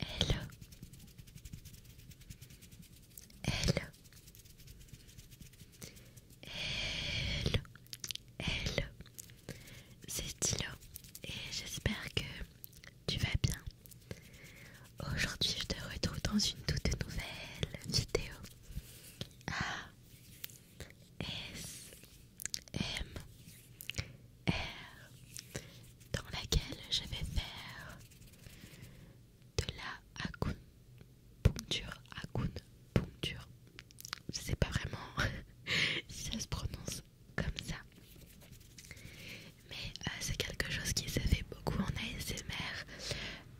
Hello. elle elle C'est Tilo et j'espère que tu vas bien. Aujourd'hui, je te retrouve dans une toute nouvelle vidéo. A S M R dans laquelle je vais faire de la Hakunpuncture poncture je sais pas vraiment si ça se prononce comme ça mais euh, c'est quelque chose qui se fait beaucoup en ASMR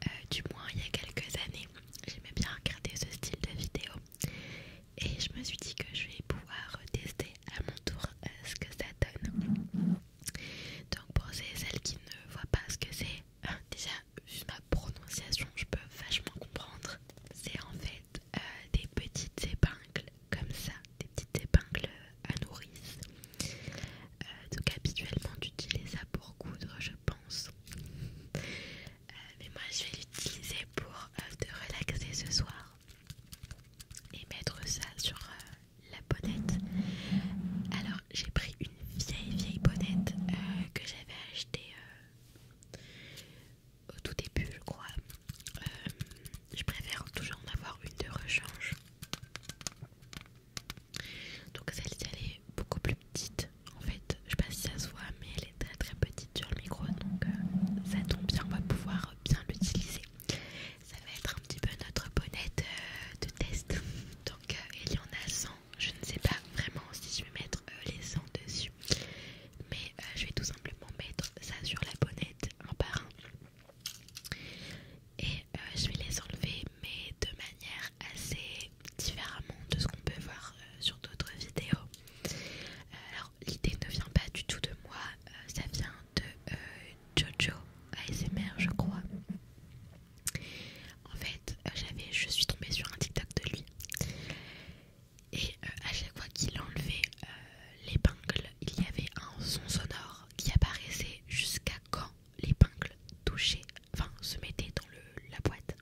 euh, du moins il y a quelques années j'aimais bien regarder ce style de vidéo et je me suis dit que je vais pouvoir tester à mon tour euh, ce que ça donne. Donc pour celles qui ne voient pas ce que c'est, hein, déjà ma prononciation, je peux vachement comprendre. C'est en fait euh, des petites épingles comme ça, des petites épingles euh, à nourrice. donc habituellement tu utilises ça pour coudre, je pense. Euh, mais moi je vais l'utiliser pour euh, te relaxer ce soir et mettre ça sur euh, la bonnette. Alors j'ai pris une vieille vieille bonnette que j'avais achetée au tout début je crois. je préfère toujours en avoir une de rechange. Donc celle-ci elle est beaucoup plus petite. En fait, je sais pas si ça se voit, mais elle est très très petite sur le micro, donc euh, ça tombe bien, on va pouvoir bien l'utiliser. Ça va être un petit peu notre bonnet euh, de test. Donc euh, il y en a 100, je ne sais pas vraiment si je vais mettre les 100 dessus, mais je vais tout simplement mettre ça sur la bonnette un par un. Et je vais les enlever, mais de manière assez différemment de ce qu'on peut voir euh, sur d'autres vidéos. Euh, alors l'idée ne vient pas du tout de moi, euh, ça vient de Jojo ASMR je crois. En fait, j'avais, je suis tombée sur un TikTok de lui et à chaque fois qu'il enlevait l'épingle, il y avait un son sonore qui apparaissait jusqu'à quand l'épingle touchait, enfin se mettait dans le, la boîte.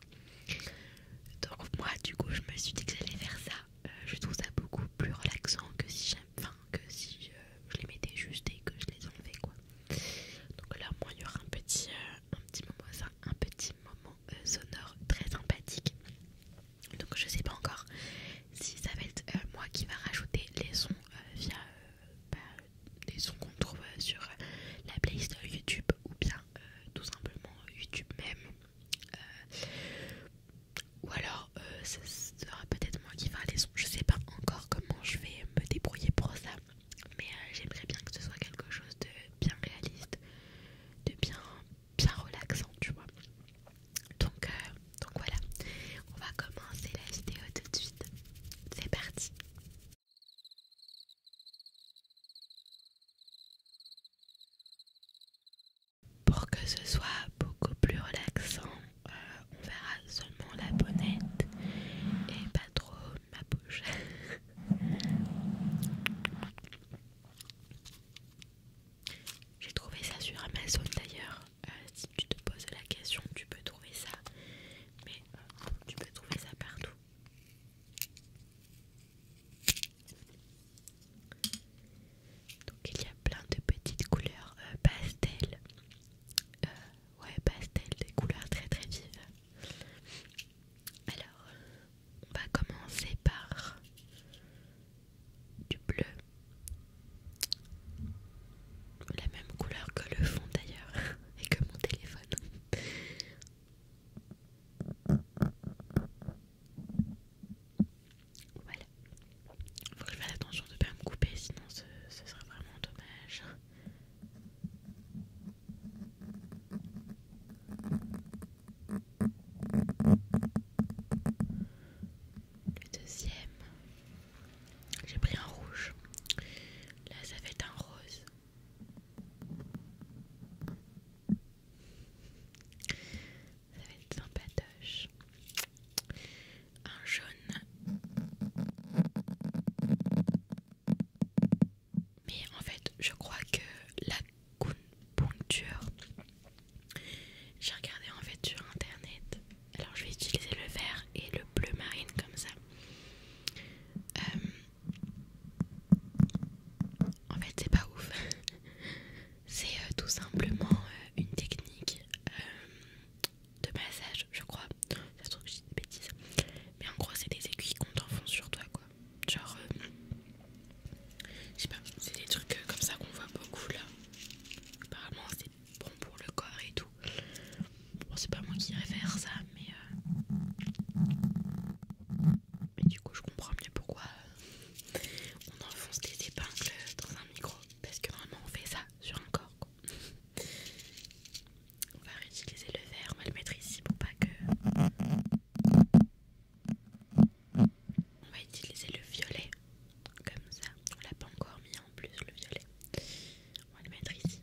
Donc moi du coup je me suis dit que j'allais faire ça. Euh, je trouve ça beaucoup plus relaxant que si enfin que si euh, je les mettais juste et que je les enlevais quoi. Donc là moi il y aura un petit euh, un petit moment un petit moment sonore très sympathique. Donc je sais pas encore si ça va être moi qui va rajouter les sons via bah, sons qu'on trouve sur la playlist YouTube ou bien euh, tout simplement YouTube même. Euh, ou alors, euh, ce sera peut-être moi qui fera les sons. Je sais pas encore comment je vais me débrouiller pour ça. Mais j'aimerais bien que ce soit quelque chose de bien réaliste, de bien, bien relaxant, tu vois. Donc, donc voilà, on va commencer la vidéo tout de suite. C'est parti. Pour que ce soit beaucoup plus relaxant, euh, on verra seulement la bonnette et pas trop ma bouche. J'ai trouvé ça sur Amazon d'ailleurs. Euh, si tu te poses la question, tu peux trouver ça. Mais euh, tu peux trouver ça partout. Donc il y a plein de petites couleurs euh, pastel. Euh, ouais, pastel, des couleurs très très vives. Alors, on va commencer par du bleu. La même couleur que le fond d'ailleurs et que mon téléphone. Voilà. Faut que je fasse attention de ne pas me couper, sinon ce, ce serait vraiment dommage. Le deuxième, j'ai pris un rouge. Là, ça fait un rose. Ça va être sympatoche. Un jaune. Mais en fait, je crois que la poncture j'ai regardé en fait sur internet. Alors je vais utiliser le vert et le bleu marine comme ça. Euh, en fait, c'est pas ouf. c'est euh, tout simplement euh, une technique euh, de massage, je crois. Ça se trouve que je dis des bêtises. Mais en gros, c'est des aiguilles qu'on t'enfonce sur toi, quoi. Genre, je sais pas, c'est des trucs comme ça qu'on voit beaucoup là. Apparemment, c'est bon pour le corps et tout. Bon, c'est pas moi qui irais faire ça, euh, mais du coup je comprends mieux pourquoi euh, on enfonce des épingles dans un micro parce que normalement on fait ça sur un corps on va réutiliser le vert, on va le mettre ici pour pas que on va utiliser le violet comme ça, on l'a pas encore mis en plus le violet on va le mettre ici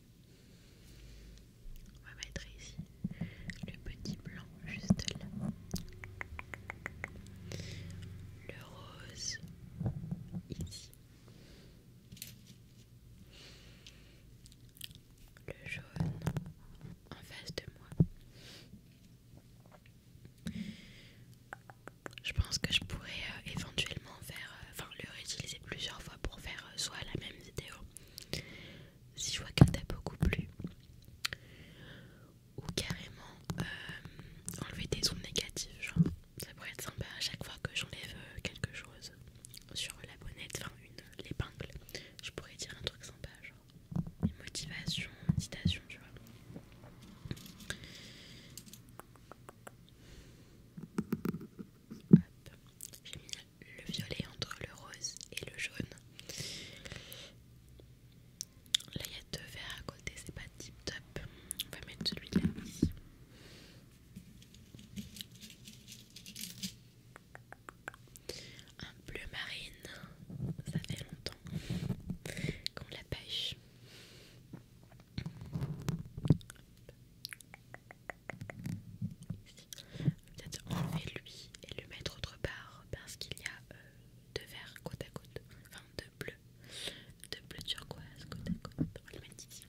On va mettre ici le petit blanc juste là. Le rose ici. Le jaune en face de moi. Je pense que je pourrais euh, éventuellement faire, euh, enfin le réutiliser plusieurs fois pour faire euh, soit la même vidéo, si je vois qu'elle t'a beaucoup plu ou carrément euh, enlever des ondes négatives genre ça pourrait être sympa à chaque fois que j'enlève euh, quelque chose sur la bonnette enfin une l'épingle je pourrais dire un truc sympa genre une motivation une citation tu vois j'ai le violet entre le rose et le jaune. Là il y a deux verres à côté, c'est pas tip top. On va mettre celui-là ici. Un bleu marine, ça fait longtemps qu'on la pêche peut-être enlever lui et le mettre autre part parce qu'il y a euh, deux verres côte à côte, enfin deux bleus, deux bleus turquoise côte à côte. On va le mettre ici.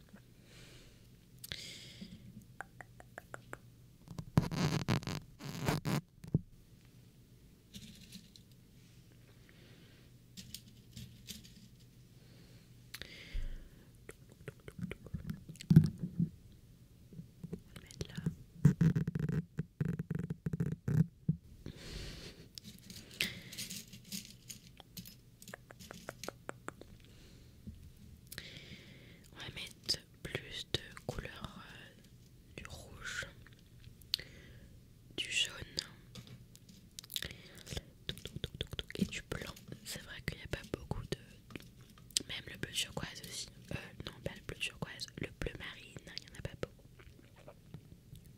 On va mettre là. On va mettre plus de couleurs euh, du rouge, du jaune et du blanc. C'est vrai qu'il n'y a pas beaucoup de, même le bleu turquoise aussi. Euh, non, pas le bleu turquoise, le bleu marine, il n'y en a pas beaucoup.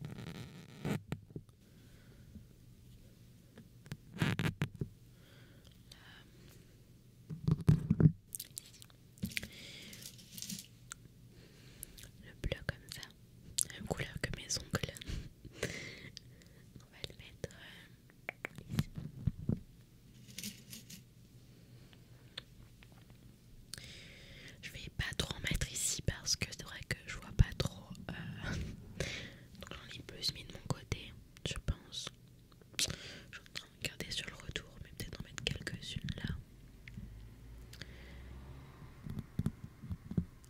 Euh, le bleu comme ça, même couleur que mes ongles. On va le mettre ici. Euh, je vais pas trop en mettre ici parce que c'est vrai que je vois pas trop. Euh, donc j'en ai plus mis de mon côté, je pense. Je vais regarder sur le retour, mais peut-être en mettre quelques-unes là.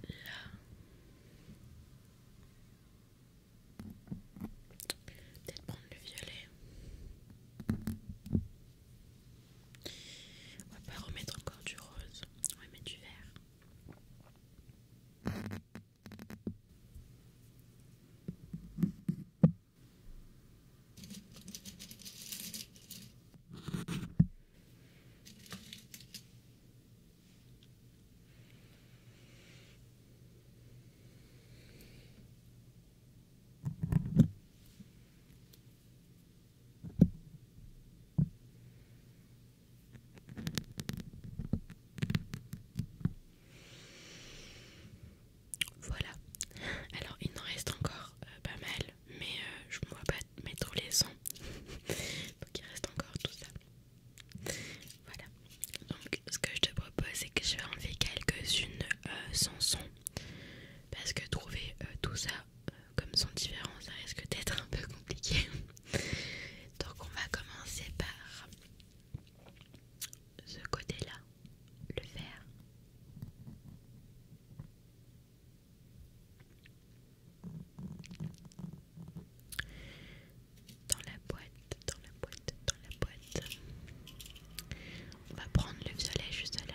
Là. Peut-être prendre le violet. On va pas remettre encore du rose, on va mettre du vert. Voilà, alors il en reste encore euh, pas mal, mais euh, je ne vois pas mettre les sons donc il reste encore tout ça. Voilà, donc ce que je te propose, c'est que je vais enlever quelques-unes euh, sans son parce que trouver euh, tout ça euh, comme son différent, ça risque d'être un peu compliqué. donc, on va commencer par ce côté-là, le vert dans la boîte, dans la boîte, dans la boîte. On va prendre le violet juste là.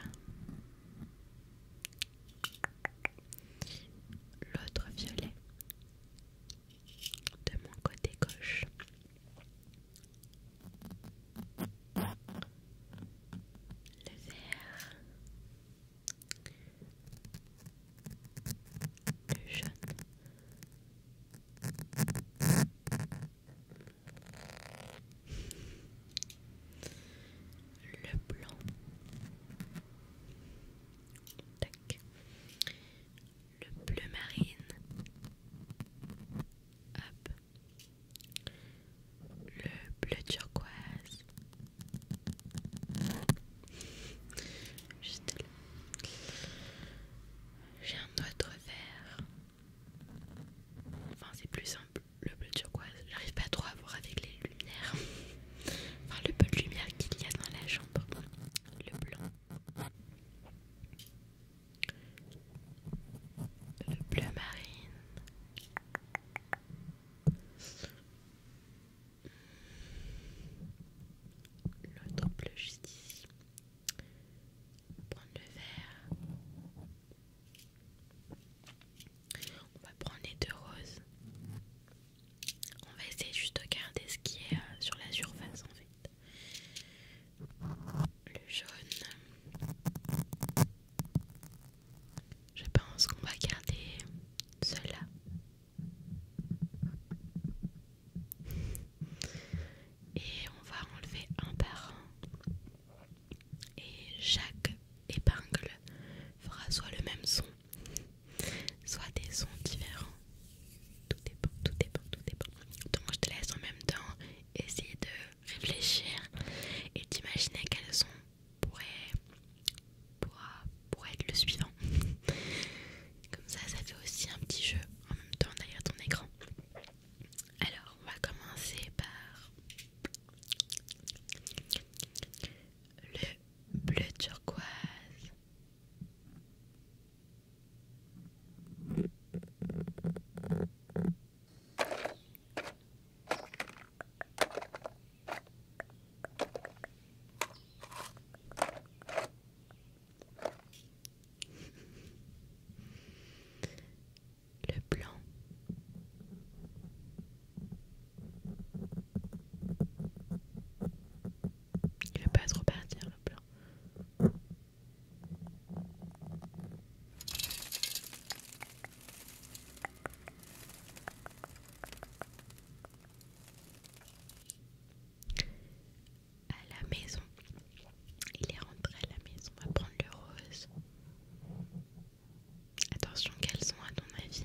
L'autre violet de mon côté gauche. Le vert. Le jaune. Le blanc. Tac. Le bleu marine. Hop. Le bleu turquoise. Juste j'ai un autre vert. Enfin, c'est plus simple. Le bleu turquoise, j'arrive pas trop à voir avec les lumières. Enfin, le peu de lumière qu'il y a dans la chambre. Le blanc. Le bleu marine. Le bleu juste ici. Prendre le vert. On va prendre les deux roses. On va essayer juste de garder ce qui est euh, sur la surface en fait. Le jaune. Je pense qu'on va garder cela. Et on va enlever un par un. Et chaque épingle fera soit le même son, soit des sons différents. Tout dépend, tout dépend, tout dépend. Donc je te laisse en même temps essayer de réfléchir et d'imaginer quel son pourrait être le suivant. Comme ça, ça fait aussi un petit jeu en même temps derrière ton écran. Alors, on va commencer par le bleu turquoise le blanc. Il veut pas trop partir le blanc à la maison. Il est rentré à la maison, à va prendre le rose. Attention, Quelles sont à ton avis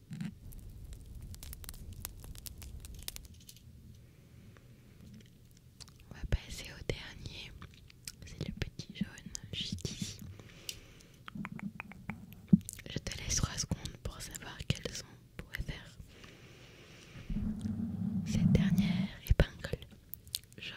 On va passer au dernier, c'est le petit jaune, Je te laisse 3 secondes pour savoir quelles sont pour faire cette dernière épingle jaune.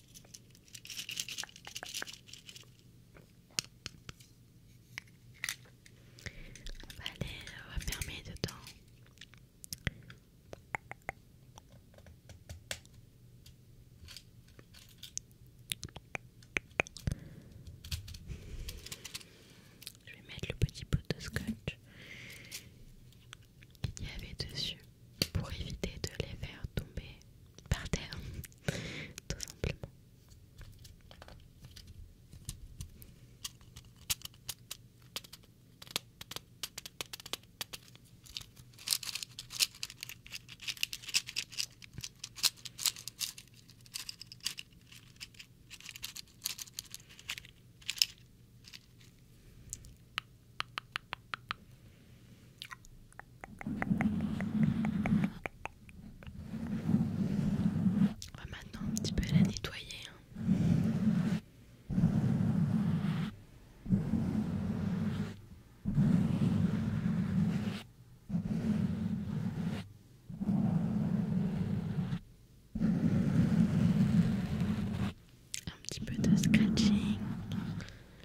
On va on euh, dedans. Je vais mettre le petit pot de scotch qu'il y avait dessus pour éviter de les faire tomber par terre, tout simplement. On va maintenant un petit peu la nettoyer. Hein. Un petit peu de scratching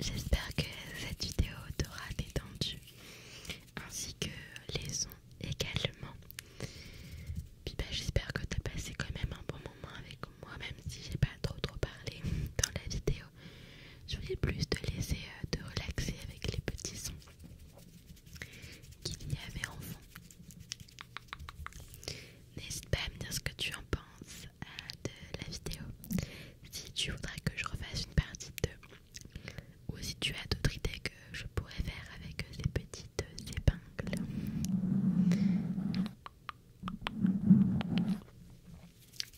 J'espère que cette vidéo t'aura détendu ainsi que les sons également. Puis bah, j'espère que t'as passé quand même un bon moment avec moi, même si j'ai pas trop trop parlé dans la vidéo. Je voulais plus te laisser euh, te relaxer avec les petits sons qu'il y avait en fond. N'hésite pas à me dire ce que tu en penses euh, de la vidéo. Si tu voudrais que je refasse une partie de ou si tu as d'autres idées que je pourrais faire avec euh, ces petites épingles.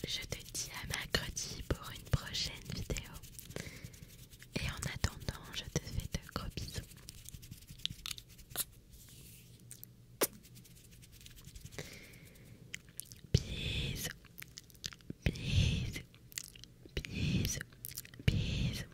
Je te dis à mercredi pour une prochaine vidéo. Et en attendant, je te fais de gros bisous. Bisous, bisous, bisous, bisous.